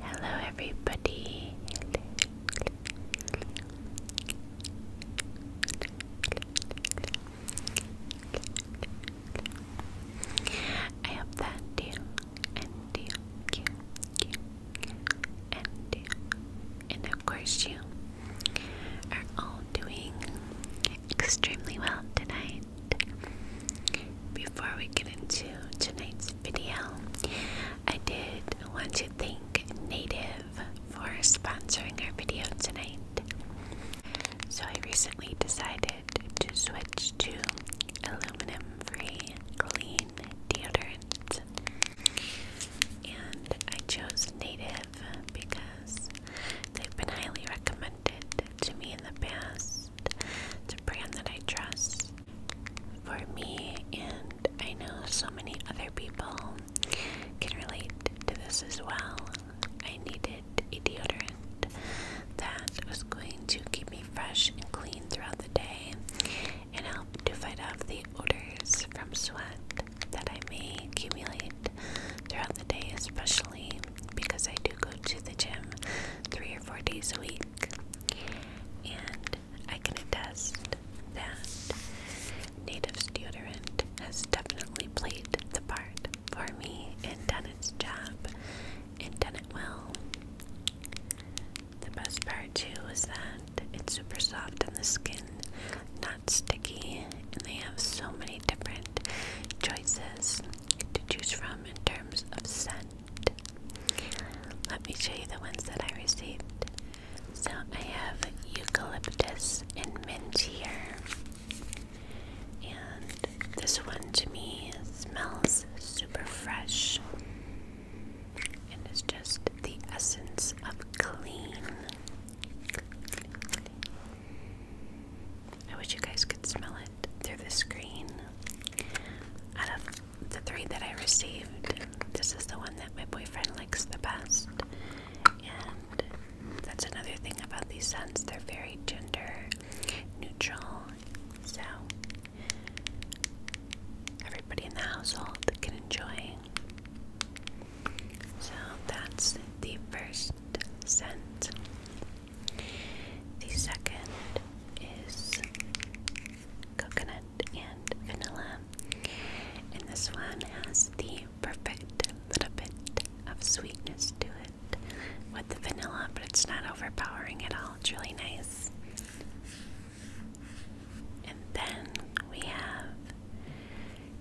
Hello, everybody. I hope that you and you, and of course, you are all doing extremely well tonight. Before we get into tonight's video, I did want to thank Native for sponsoring our video tonight. So I recently decided to switch to aluminum-free clean deodorant. And I chose Native because they've been highly recommended to me in the past. It's a brand that I trust for me, and I know so many other people can relate to this as well. I needed a deodorant that was going to keep me fresh and clean throughout the day and help to fight off the odors from sweat that I may accumulate throughout the day, especially because I do go to the gym three or four days a week, and I can attest that native deodorant has definitely played the part for me and done its job and done it well. The best part too is that it's super soft on the skin, not sticky, and they have so many different choices to choose from um, in terms of scent. Let me show you the ones that I received. So I have eucalyptus and mint here. And this one to me smells super fresh. And it's just the essence of clean. I wish you guys could smell it through the screen. Out of the three that I received, this is the one that my boyfriend likes the best. And that's another thing about these scents, they're very gender neutral. So everybody in the household can enjoy. So that's the first scent the second is coconut and vanilla. And this one has the perfect little bit of sweetness to it with the vanilla, but it's not overpowering at all. It's really nice. And then we have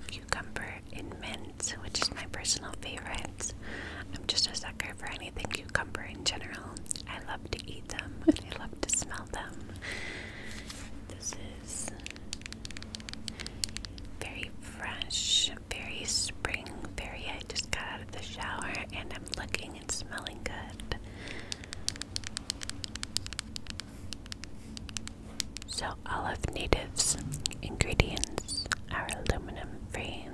cucumber and mint, which is my personal favorite. I'm just a sucker for anything cucumber in general. I love to eat them and I love to smell them. This is very fresh, very spring, very. I just got out of the shower and I'm looking and smelling good. So, all of natives ingredients are aluminum free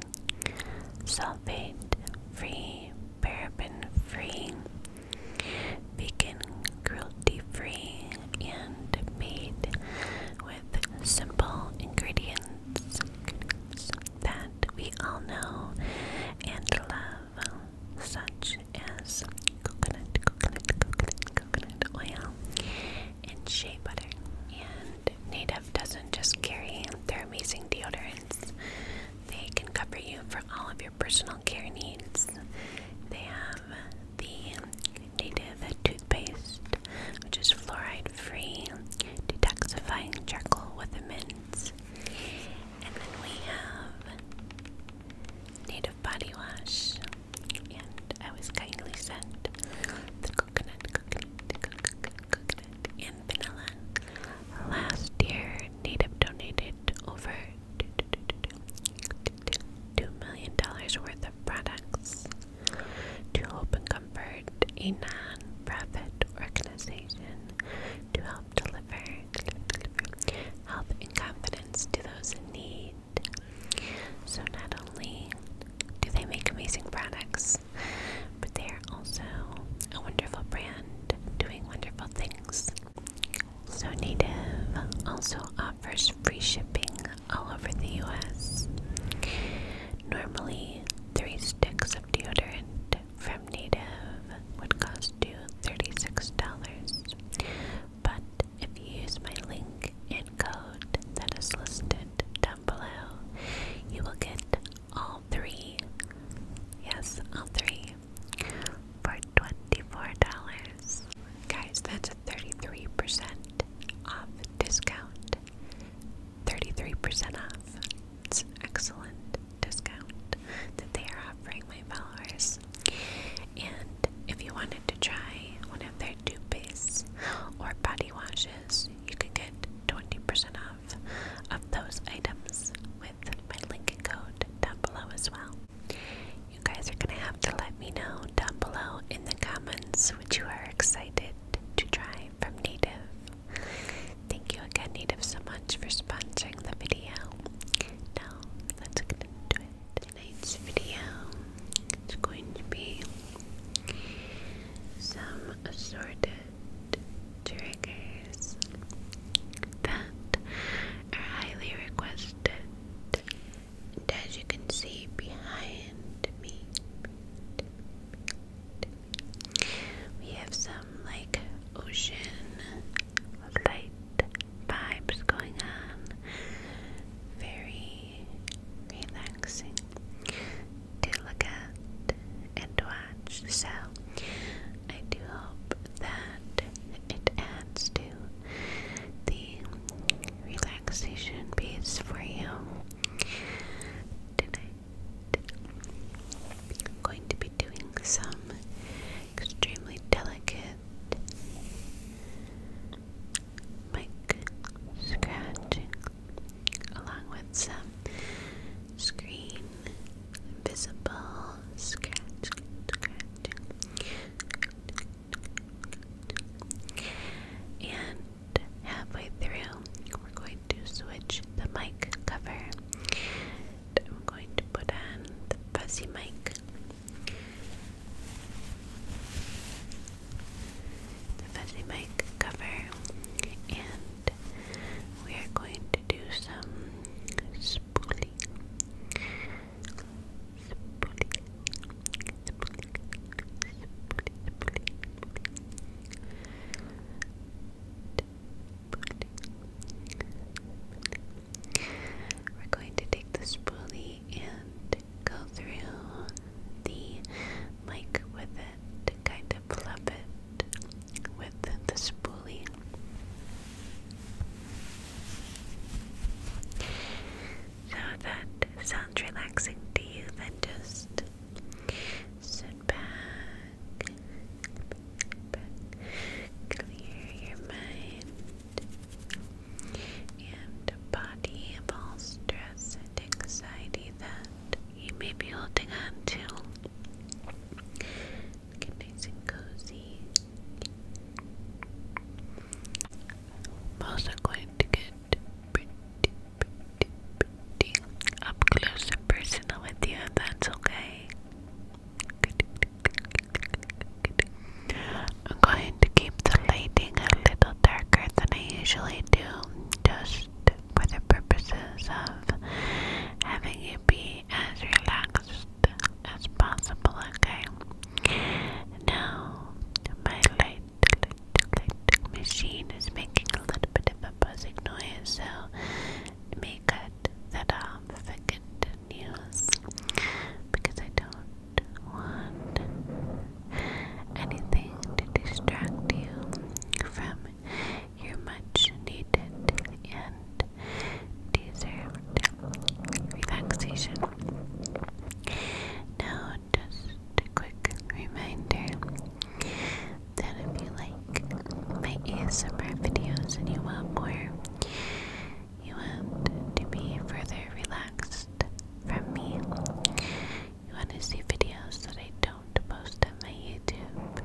sulfate free, paraben free, vegan cruelty free, and made with simple ingredients, that we all know and love, such as coconut, coconut, coconut, coconut oil, and shea butter. And Native doesn't just carry their amazing deodorants, they can cover you for all of your personal care needs. They have the Native toothpaste, which is fluoride free, detoxifying charcoal with a mint. And then we have Native body wash, and I was kindly sent coconut, and vanilla. Last year, Native donated over $2 million worth of products to Hope Comfort, a non profit organization to help deliver health and confidence to those in need. So, not only do they make amazing products, but they're also a wonderful brand doing wonderful things. So Native also offers free shipping all over the US. Normally, three sticks of deodorant from Native would cost you $36. But if you use my link and code that is listed down below, you will get all three. Yes, all three for $24. Guys, that's a 33% off discount. 33% off. It's excellent discount that they are offering my followers. And if you wanted to try one of their dupes or body washes, you can get 20% off of those items with my link code down below as well. You guys are going to have to let me know down below in the comments which you are excited to try from Native. Thank you again, Native, so much for sponsoring the video. Now, let's get it. Tonight's video is going to be some assorted triggers that are highly requested. as you can see behind me, we have some like ocean light vibes going on. Very relaxing to look at and watch. So I do hope that it adds to the relaxation piece for you tonight. I'm going to be doing some extremely delicate mic scratching along with some screen visible scratch, And halfway through, we're going to switch the mic cover. I'm going to put on the fuzzy mic. The fuzzy mic cover and we are going to do some spooling. We're going to take the spoolie and go through the like with it, to kind of fluff it with the spoolie. So that sounds relaxing to you, then just sit back, back clear your mind and body of all stress and anxiety that you may be holding on to. Get nice and cozy. I'm also going to get pretty, pretty, pretty up close and personal with you, that's okay. I'm going to keep the lighting a little darker than I usually do, just for the purposes of having you be as relaxed as possible, okay? Now, my light, light, light machine is making a little bit of a buzzing noise, so let me that off if continues because I don't want anything to distract you from you're much needed and deserved relaxation. Now, just a quick reminder that if you like my ASMR videos and you want more, you want to be further relaxed from me, you want to see videos that I don't post on my YouTube?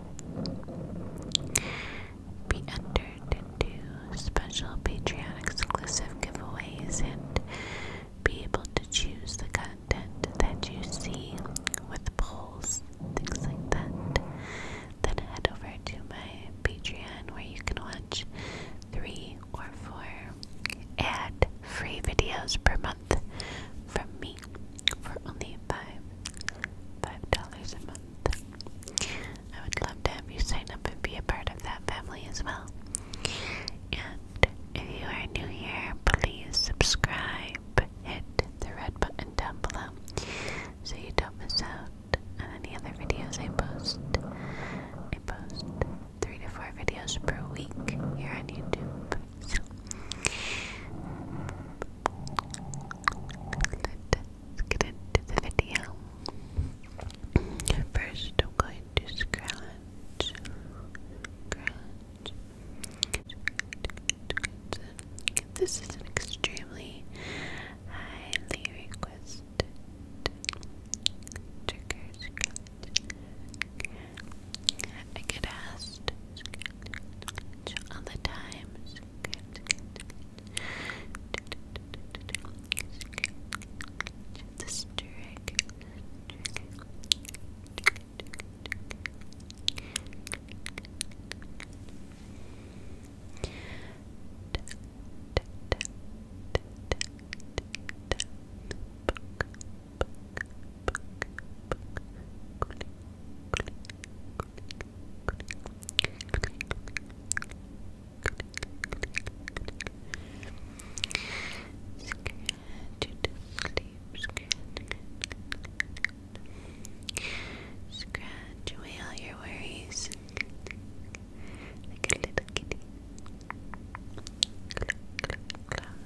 Be entered into special Patreon exclusive giveaways and be able to choose the content that you see with polls, things like that. Then head over to my Patreon where you can watch three or four ad free videos per month from me for only five five dollars a month. I would love to have you sign up and be a part of that family as well. And if you are new here, please subscribe. Hit the red button down below so you don't miss out on any other videos I post. I post three to four videos per week here on YouTube. So let's get into the video. First, I'm going to scratch, This is an extremely highly requested trigger I get asked other times. This trick. Scratch away all your worries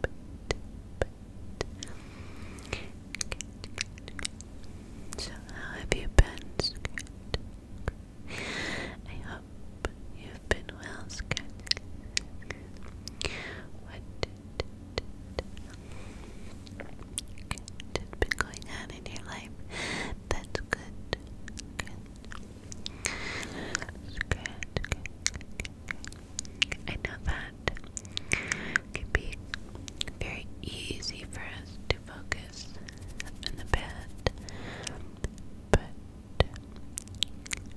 but, So how have you been, I hope you've been well, What has been going on in your life? That's good. I know that can be very easy for us to focus on the bed, but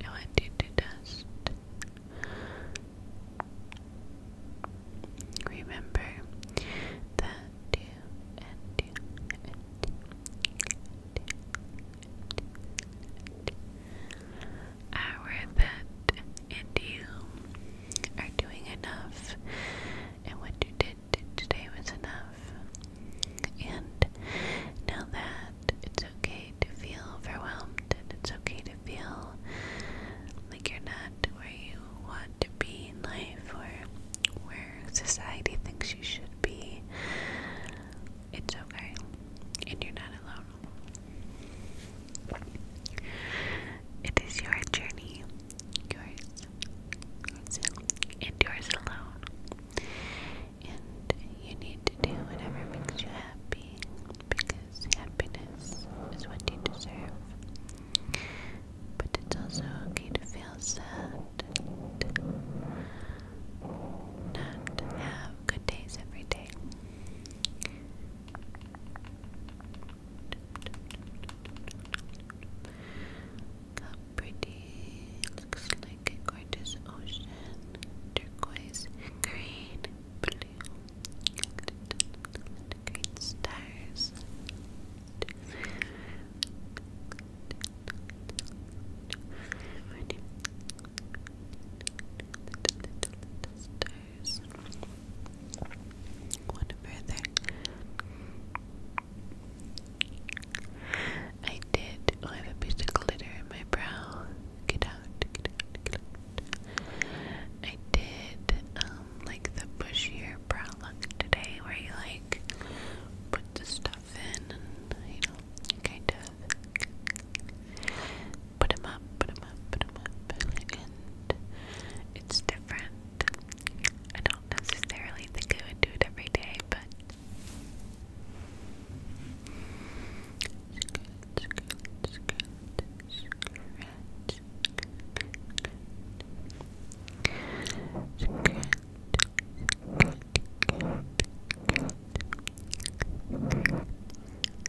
I want you to just remember that our that and you are doing enough, and what you did today was enough. And now that it's okay to feel overwhelmed, and it's okay to feel like you're not where you want to be in life or where society thinks you should be, it's okay, and you're not alone. It is your journey, yours, yours, and yours alone. And you need to do whatever makes you happy because happiness is what you deserve. But it's also okay to feel sad and not have good days every day. How pretty. Looks like a gorgeous ocean. Turquoise, green, blue. Great stars stars. One further. I did. I have a glitter in my brow. Get out, I did, um, like the bushier brow look today where you like put the stuff in and, you Put them up, put up, put up, and it's different. I don't necessarily think I would do it every day, but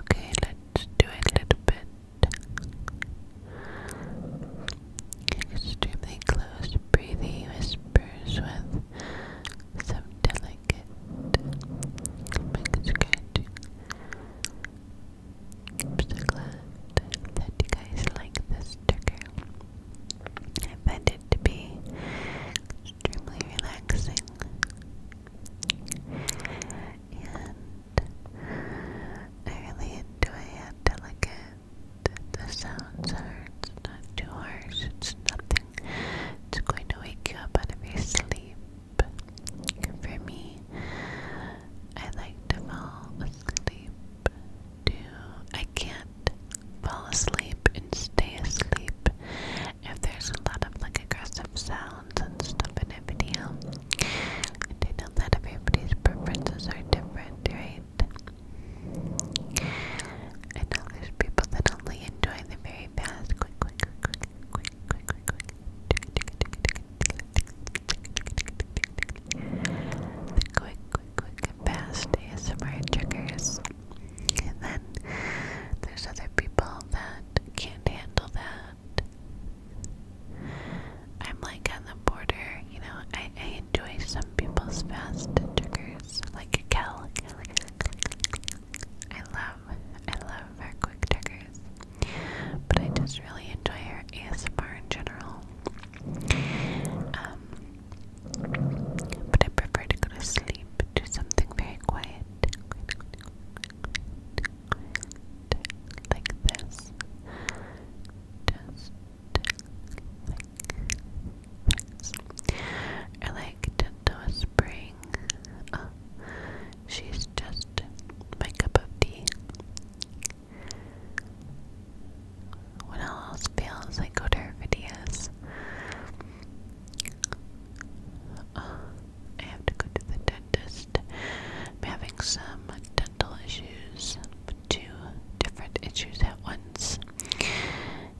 Okay, let's do a little bit extremely close breathing whispers with some delicate I'm so glad that you guys like this trigger. I find it to be extremely relaxing. And I really enjoy how delicate the sounds are. not too harsh, it's nothing. It's going to wake you up out of your sleep. For me, I like to fall asleep too. I can't fall asleep and stay asleep if there's a lot of like aggressive sounds and stuff in a video. And I know that everybody's preferences are different, right? I know there's people that only enjoy the very fast, quick, quick, quick, quick, quick, quick, quick, quick. The quick, quick, quick, and fast ASMR triggers then there's other people that can't handle that. I'm like on the border, you know, I, enjoy some people's fast triggers, like Kel. I love, I love very quick triggers, but I just really enjoy her ASMR in general. Um, but I prefer to go to sleep, do something very quiet like this. Just like this. Or like Gentle Spring. Oh, she's just my cup of tea. When all else fails, I go to her videos. Uh, I have to go to the dentist. I'm having some dental issues, two different issues at once,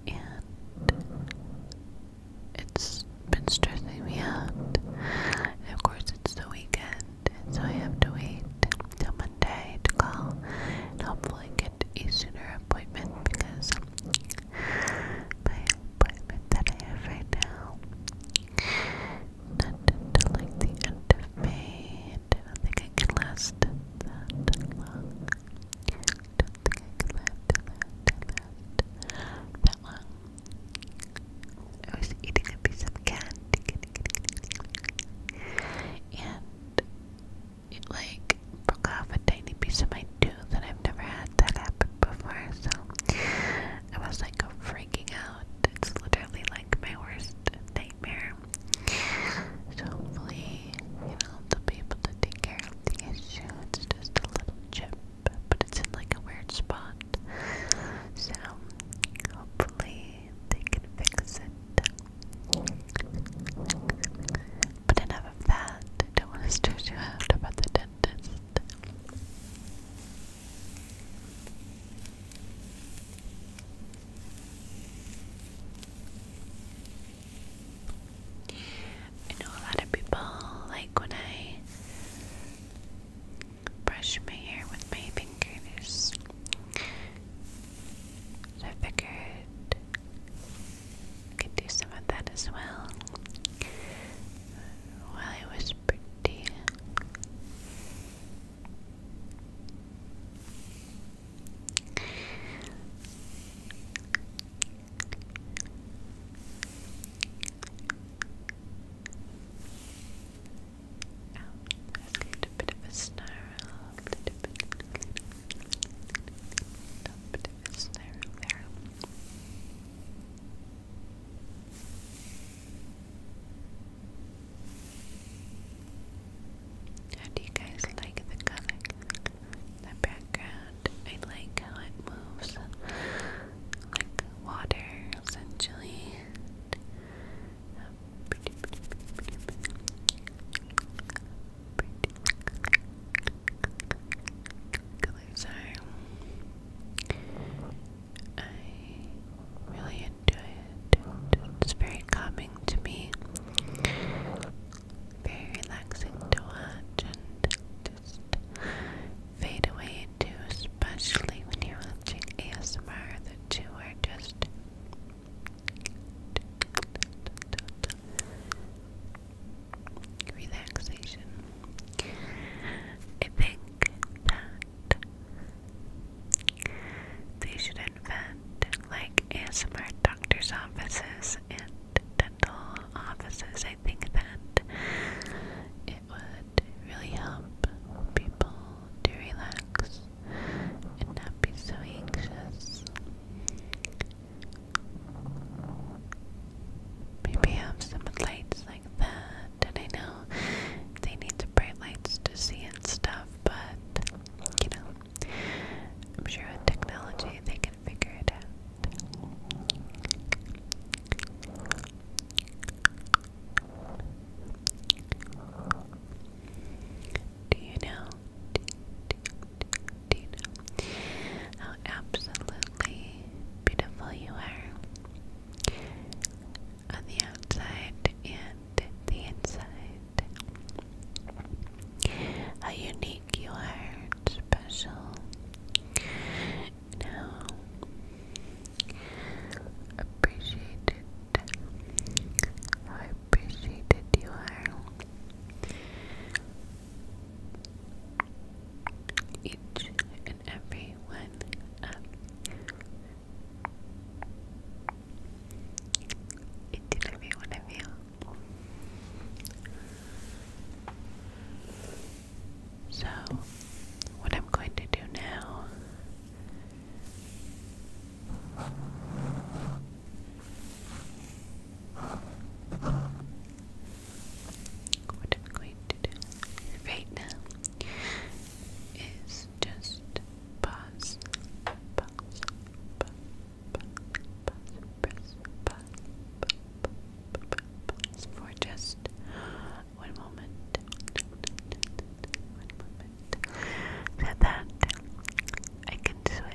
and it's been stressing me out. of course, it's the weekend, so I have to wait till Monday to call and hopefully get a sooner appointment because my appointment that I have right now. Not until like the end of May, I don't think I can last that long. I don't think I can last that, that, that long. I was eating a piece of candy, and like broke off a tiny piece of my tooth, and I've never had that happen before, so I was like freaking out. It's literally like my worst nightmare. So hopefully, you know, they'll be able to take care of the issue. It's just a little chip, but it's in like a weird spot. So hopefully they can fix it. But enough of that. I don't want to stress you out about the dental I know a lot of people like when I brush my hair with my fingers. So I figured could do some of that as well. While it was pretty. a little bit of a snarl, a little bit of a snarl there. How do you guys like the color? The background. I like how it moves like water essentially. I really enjoy it. It's very calming to me, very relaxing to watch, and just fade away into, especially when you're watching ASMR. The two are just relaxation. I think that they should invent like ASMR doctors' offices and dental offices. I think that it would really help people to relax and not be so anxious. Maybe have some lights like that. And I know they need some bright lights to see and stuff, but you know, I'm sure with technology they can figure it out. Do you know? How absolutely beautiful you are on the outside and the inside. How unique you are, and special. Now, appreciated. How appreciated you are each and every one of you. So, what I'm going to do now what I'm going to do right now is just pause, pause, pause, pause, press, pause, pause, pause for just one moment. One that I can switch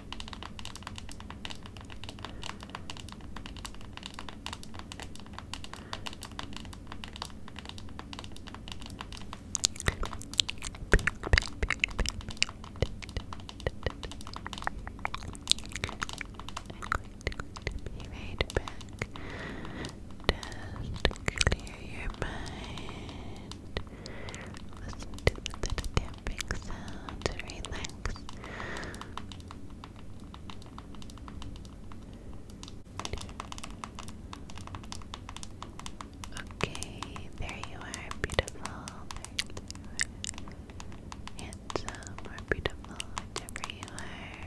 be right back. Just clear your mind. Listen to the tapping sounds. Relax thanks. Okay, there you are, beautiful. Handsome or beautiful, whichever you are.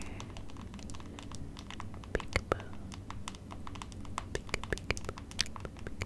Peekaboo. Peek, peek,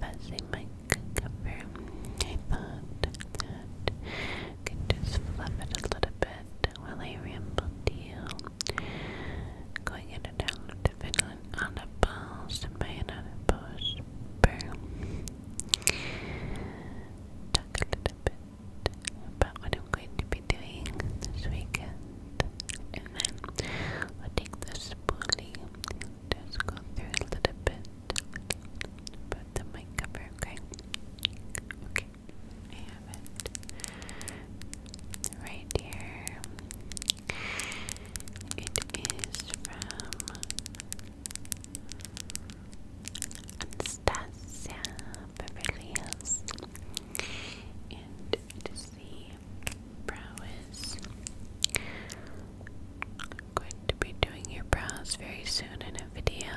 fuzzy mic cover. I thought I could just fluff it a little bit while I ramble to you. Going in and out of England on a pulse and by another pulse Talk a bit about what I'm going to be doing this weekend. And then i take the spoolie and just go through a little bit Put the mic cover, okay? Okay, I have it right here. It is from Anastasia Beverly Hills. it is the Prowess I'm going to be doing your brows very soon in a video.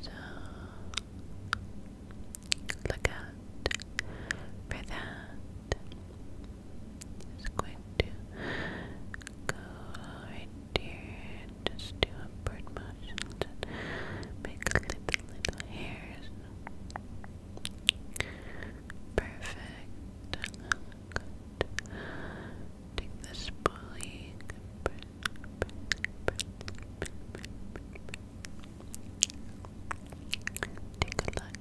So look out for that. Just going to go right here and just do upward motions and make little little hairs. Perfect. Good. Take this pulley. Take a look.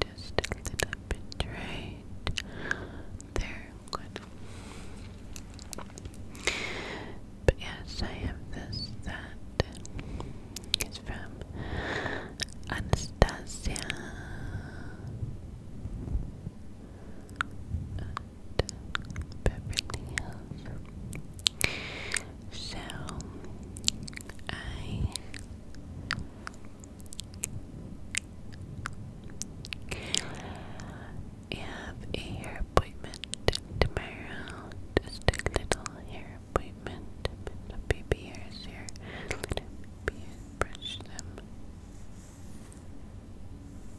Just a little bit right there good. But yes, I have this that is from Anastasia. And Beverly Hills. So I have a hair appointment tomorrow. Just a little hair appointment. The baby hairs here. Let me brush them.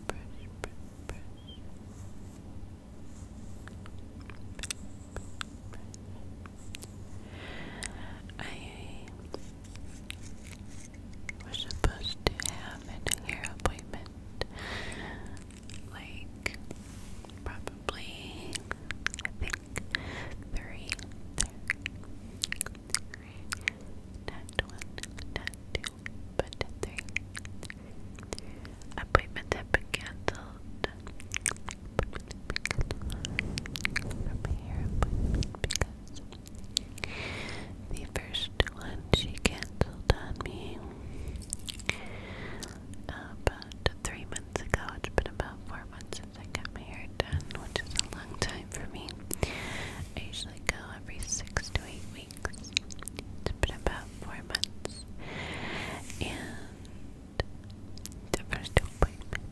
Brush, brush, brush. I we're supposed to have a hair appointment like probably I think three but three appointments have been cancelled the first one she cancelled on me about three months ago. It's been about four months since I got my hair done, which is a long time for me. I usually go every six to eight weeks. It's been about four months. And the first appointment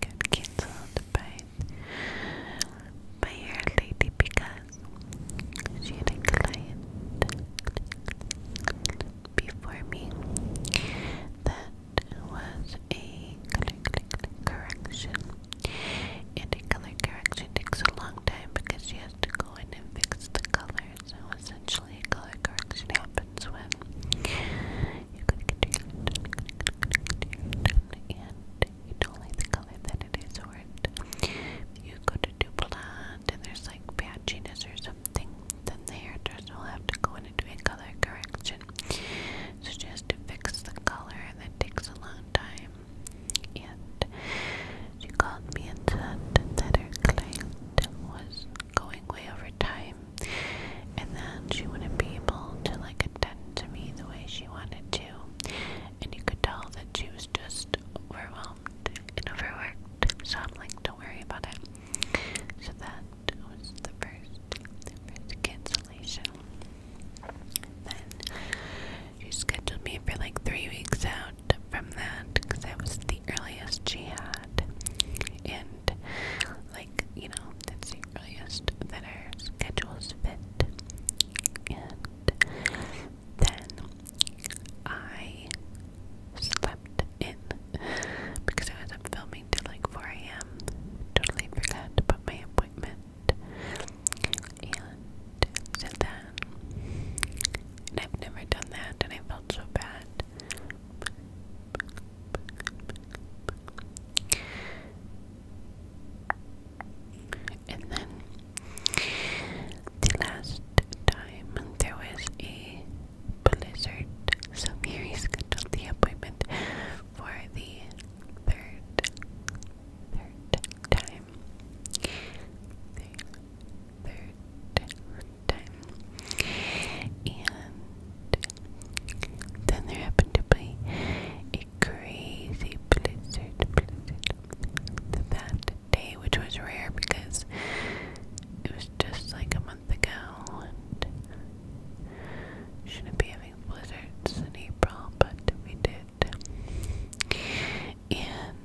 got cancelled by my hair lady because she had a client before me that was a color correction. And a color correction takes a long time because she has to go in and fix the color. So essentially, color correction happens when you don't like the color, then it is orange. You go to do blonde and there's like patchiness or something, then the hairdresser will have to go in and do a color correction. So she has to fix the color and that takes a long time. And she called me and said that her client was going way over time and that she wouldn't be able to like attend to me the way she wanted to. And you could tell that she was just overwhelmed and overworked, so I'm like, don't worry about it. So that was the first, cancellation. Then she scheduled me for like three weeks out from that because that was the earliest she had, and like you know, that's the earliest that our schedules fit. Then I slept in because I was up filming till like 4 a.m. Totally forgot to put my appointment. And said that. And I've never done that and I felt so bad and then the last time there was a blizzard, so Marys scheduled the appointment for the third, third time. third time. And then there happened to be a crazy blizzard, that day, which was rare because it was just like a month ago shouldn't be having blizzards in April, but we did. And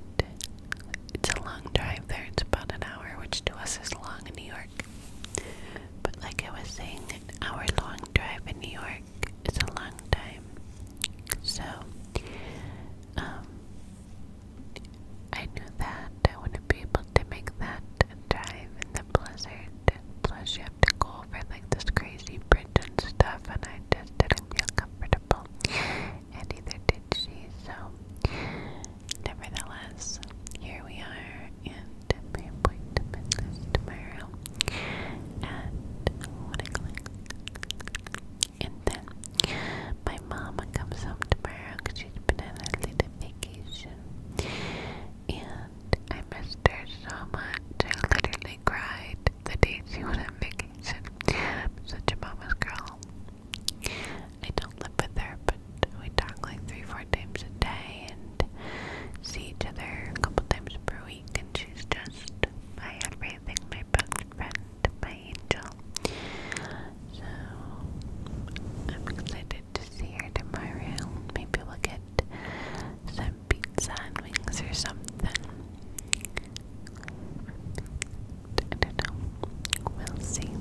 it's a long drive there, it's about an hour, which to us is long in New York. But like I was saying, an hour long drive in New York it's a long time. So, um, I knew that I wouldn't be able to make that drive in the blizzard. Plus, you have to go over like this crazy bridge and stuff, and I just didn't feel comfortable. And either did she. So, nevertheless, here we are, and my appointment tomorrow at one o'clock. And then my mama comes home tomorrow because she's been on a little vacation. And I missed her so much. I literally cried the day she was on vacation. I'm such a mama's girl. I don't live with her, but we talk like three, four times a day and see each other a couple times per week. And she's just my every I think my best friend, my angel. So I'm excited to see her tomorrow. Maybe we'll get some pizza and wings or something. I don't know. We'll see.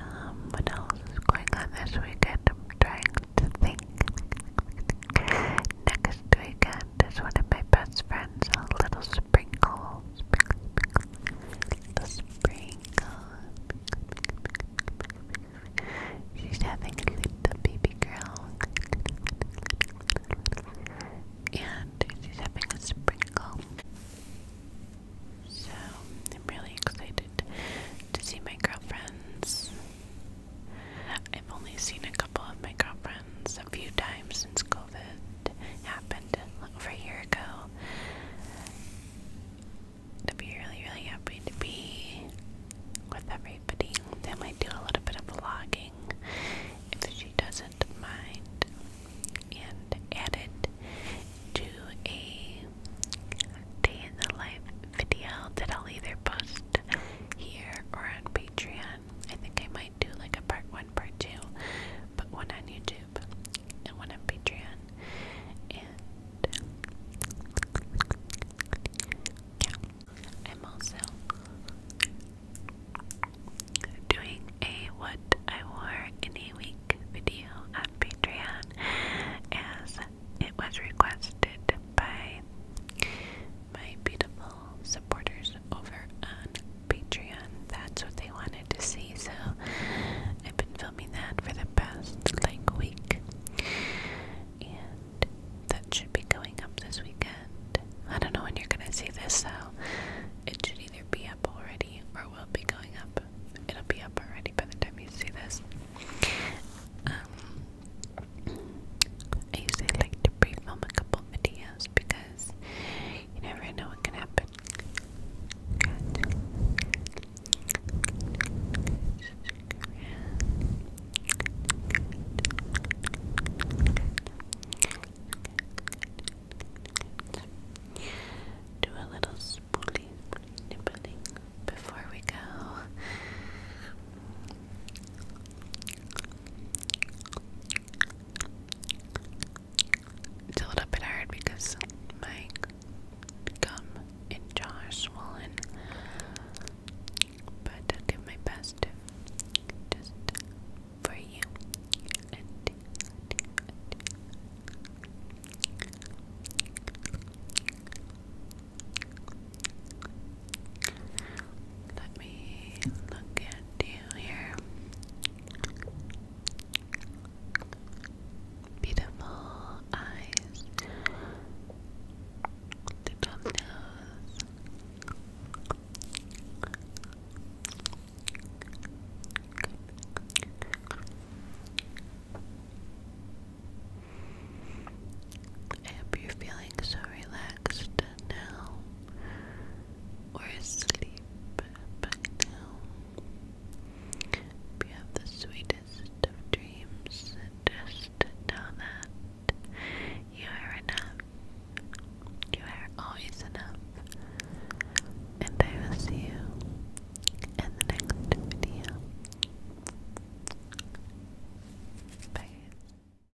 Um, what else is going on this weekend? trying to think. Next weekend that's one of my best friends, little sprinkle. Sprinkle, sprinkle. She's having a little baby girl. And she's having a sprinkle. So, I'm really excited to see my girlfriends. I've only seen a couple of my girlfriends a few times since COVID happened over a year ago. To be really, really happy to be with everybody. I might do a little bit of vlogging if she doesn't mind. And add it to a day in the life video that I'll either post here or on Patreon. I think I might do like a part one, part two, but one on YouTube and one on Patreon. And yeah, I'm also doing a what I wore in a week video on Patreon as it was requested by my beautiful supporters over on Patreon. That's what they wanted to see, so I've been filming that for the past like week. And that should be going up this weekend. I don't know when you're gonna see this, so it should either be up already or will be going up. It'll be up already by the time you see this. Um, I usually like to pre-film a couple videos because you never know what can happen. Do a little spoolie nibbling before we go. It's a bit hard because my gum and jaw are swollen, but I'll do my best just for you. Let me look at you here. Beautiful eyes, little nose. I hope you're feeling so relaxed relaxed now or asleep by now. If have the sweetest of dreams, just know that you are enough. You are always enough. And I will see you in the next video. Bye.